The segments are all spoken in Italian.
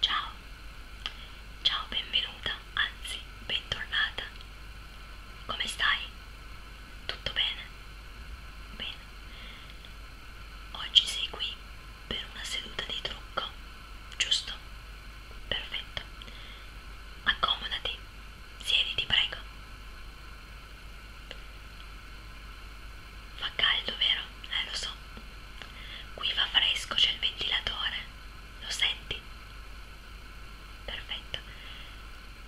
Ciao, ciao benvenuta, anzi bentornata. Come stai? Tutto bene? Bene. Oggi sei qui per una seduta di trucco, giusto? Perfetto. Accomodati, siediti prego. Fa caldo, vero? Eh, lo so. Qui fa fresco, c'è il ventilatore. Lo senti? Perfetto.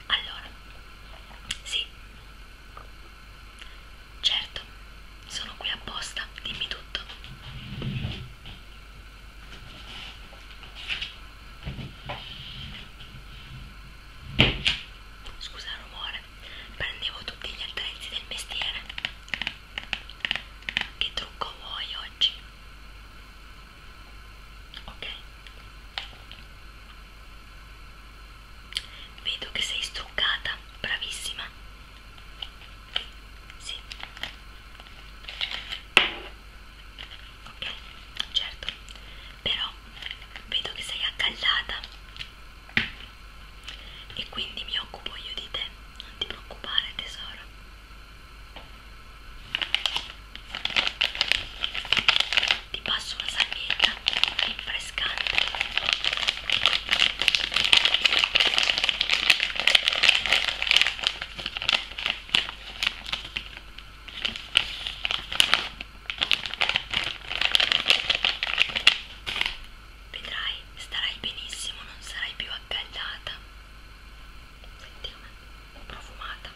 Allora, sì. Certo, sono qui apposta, dimmi tutto. Scusa il rumore fare prendevo tutti gli attrezzi del mestiere che trucco vuoi oggi? ok vedo che sei struccata bravissima sì ok certo però vedo che sei accaldata e quindi mi occupo io di te, non ti preoccupare tesoro. Ti passo una salvietta rinfrescante. Vedrai, starai benissimo, non sarai più accaldata. Senti com'è, profumata.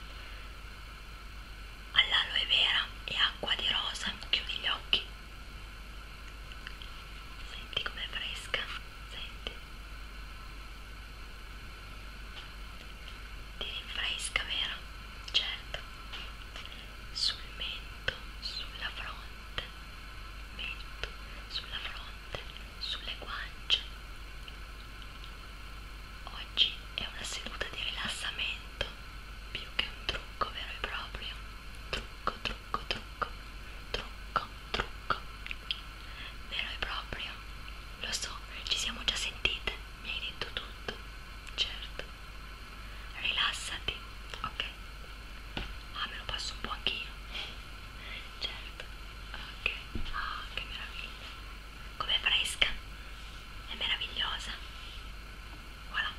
All'aloe vera e acqua di rosa, chiudi gli occhi. Senti com'è fresca, senti. Ti rinfresca, vero? Certo sul mento, sulla fronte, mento, sulla fronte, sulle guance. Oggi è una seduta di rilassamento più che un trucco vero e proprio. Trucco, trucco, trucco, trucco, trucco. Vero e proprio. Lo so, ci siamo già sentite, mi hai detto tutto. Certo, rilassati, ok? Ah, me lo passo un po' anch'io, certo, ok, ah, che meraviglia, com'è fresca, è meravigliosa, voilà,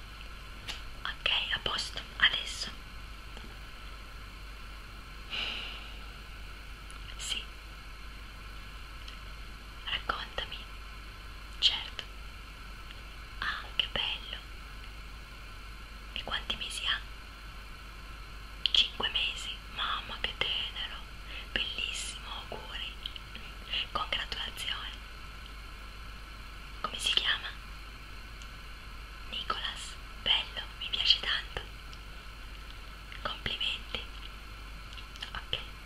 ok, a posto, adesso, sì, Raccontami. Certo. Ah, che bello. E quanti mesi ha? Cinque mesi. Mamma, che tenero. Bellissimo, auguri. Congratulazioni. Come si chiama? Nicolas. Bello, mi piace tanto. Complimenti. Ok.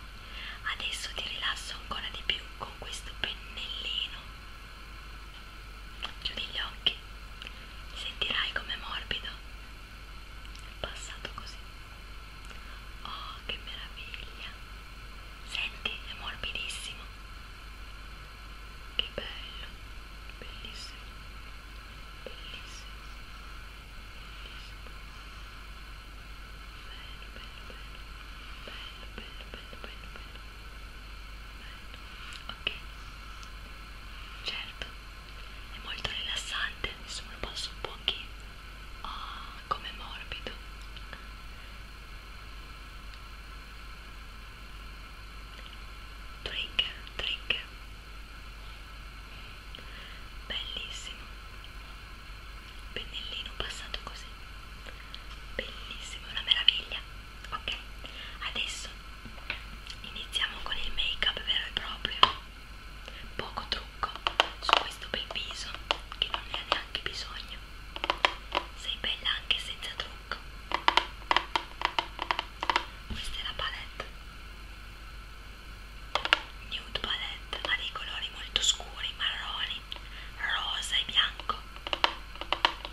Adesso ti rilasso ancora di più con questo pennellino. Chiudi gli occhi, sentirai com'è morbido. Passato così. Oh, che meraviglia! Senti, è morbidissimo. Che bello, bellissimo, bellissimo. bellissimo bello, bello, bello. Ok, certo, è molto rilassante, insomma lo passo un po' anche ah, oh, ah, come morbido. Drink, drink. Bellissimo pennellino passato così bellissimo, una meraviglia ok, adesso iniziamo con il make up vero e proprio poco trucco su questo bel viso che non ne ha neanche bisogno sei bella anche senza trucco questa è la palette Nude Palette ha dei colori molto scuri, marroni, rosa e bianco,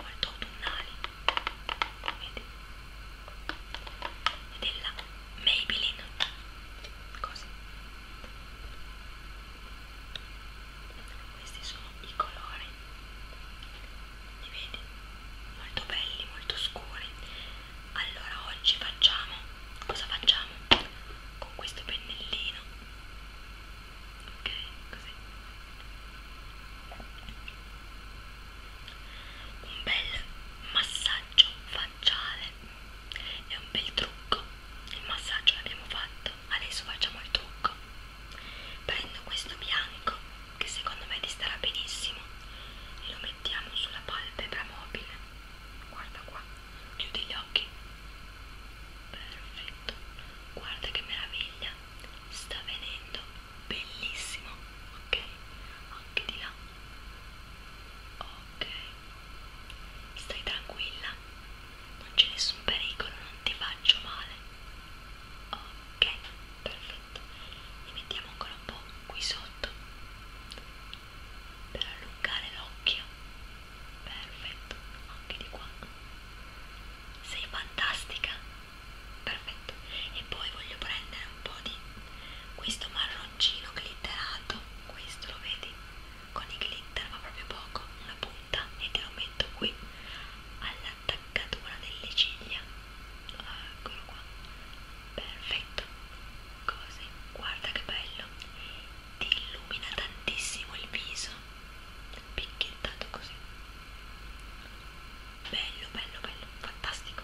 molto autunnali. Vedi? E della Maybelline. Così. Questi sono i colori. Li vedi? Molto belli, molto scuri. Allora oggi facciamo cosa facciamo? con questo pennellino ok così un bel massaggio facciale è un bel trucco il massaggio l'abbiamo fatto adesso facciamo il trucco prendo questo bianco che secondo me ti starà benissimo e lo mettiamo sulla palpebra mobile guarda qua Chiudi gli occhi. Perfetto. Guarda che meraviglia. Sta venendo bellissimo. Ok. Anche di là. Ok. Stai tranquilla. Non c'è nessun pericolo, non ti faccio male. Ok. Perfetto. Li mettiamo ancora un po' qui sotto per allungare l'occhio perfetto anche di qua sei fantastica perfetto e poi voglio prendere un po' di questo marroncino glitterato questo lo vedi con i glitter ma proprio poco una punta e te lo metto qui all'attaccatura delle ciglia eccolo qua perfetto così guarda che bello ti illumina tantissimo il viso picchiettato così bello bello bello fantastico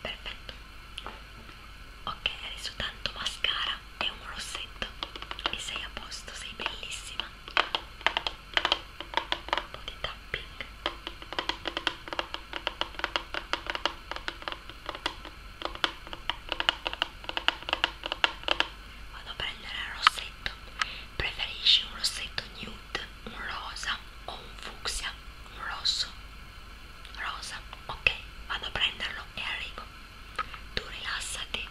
perfetto ok adesso tanto mascara e un rossetto e sei a posto sei bellissima un po' di tapping Vado a prendere il rossetto. Preferisci un rossetto nude, un rosa o un fucsia? Un rosso? Rosa? Ok, vado a prenderlo e arrivo. Tu rilassati.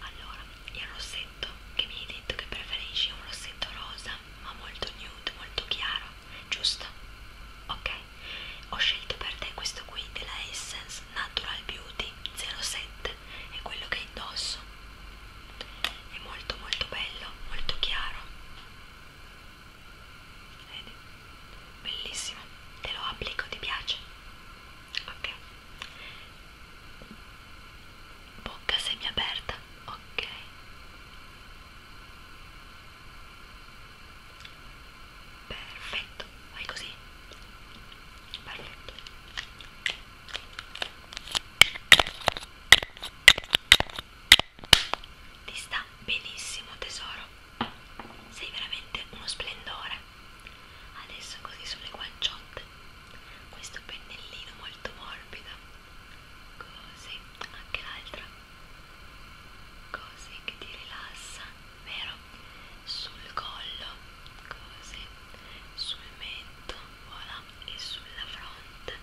Allora, il rossetto che mi hai detto che preferisci è un rossetto rosa, ma molto nude, molto chiaro giusto? Ok, ho scelto per te questo qui della Essence Natural Beauty 07, è quello che indosso, è molto molto bello, molto chiaro, vedi? Bellissimo, te lo applico, ti piace? Ok, bocca semiaperta, ok. Perfetto, fai così. Perfetto. Ti sta benissimo tesoro. Sei veramente uno splendore. Adesso così sulle guanciotte. Questo pennellino molto morbido. Così, anche l'altra cose che ti rilassano, vero? Sul collo, così, sul mento, voilà, e sulla fronte.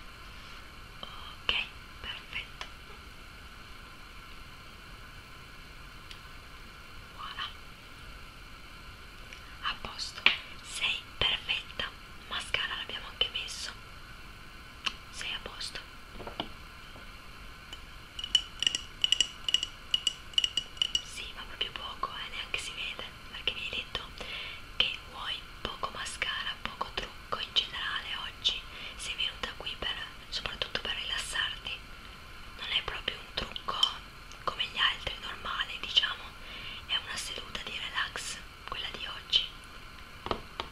Ok, perfetto. Voilà. A posto, sei perfetta. Mascara l'abbiamo anche messo. Sei a posto. Sì, ma proprio poco, eh, neanche si vede, perché mi hai detto che vuoi poco mascara, poco trucco in generale oggi. Sei venuta qui per, soprattutto per rilassarti. Non è proprio un trucco come gli altri, normale, diciamo. È una seduta di relax, quella di oggi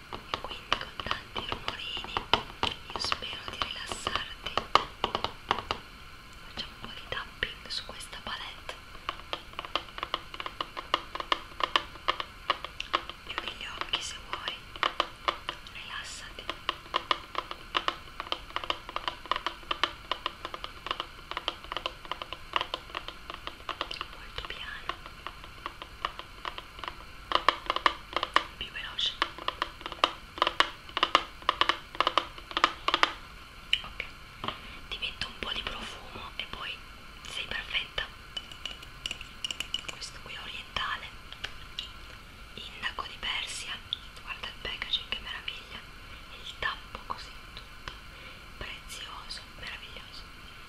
quindi con tanti rumorini io spero di rilassarti facciamo un po' di tapping su questa palette chiudi gli occhi se vuoi rilassati molto piano più veloce ok ti metto un po' di profumo e poi sei perfetta questo qui è orientale indaco di persia guarda il packaging che meraviglia il tappo così tutto prezioso meraviglioso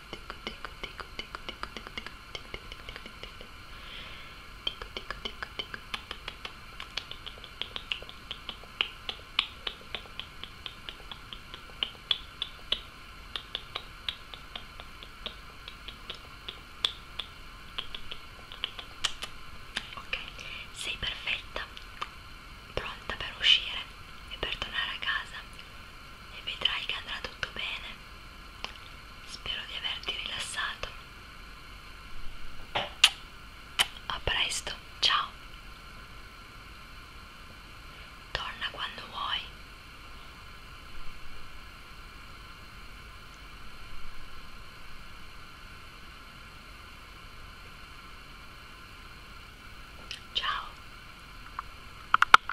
Ok, sei perfetta, pronta per uscire e per tornare a casa e vedrai che andrà tutto bene. Spero di averti rilassato. A presto, ciao. Torna quando vuoi. Ciao.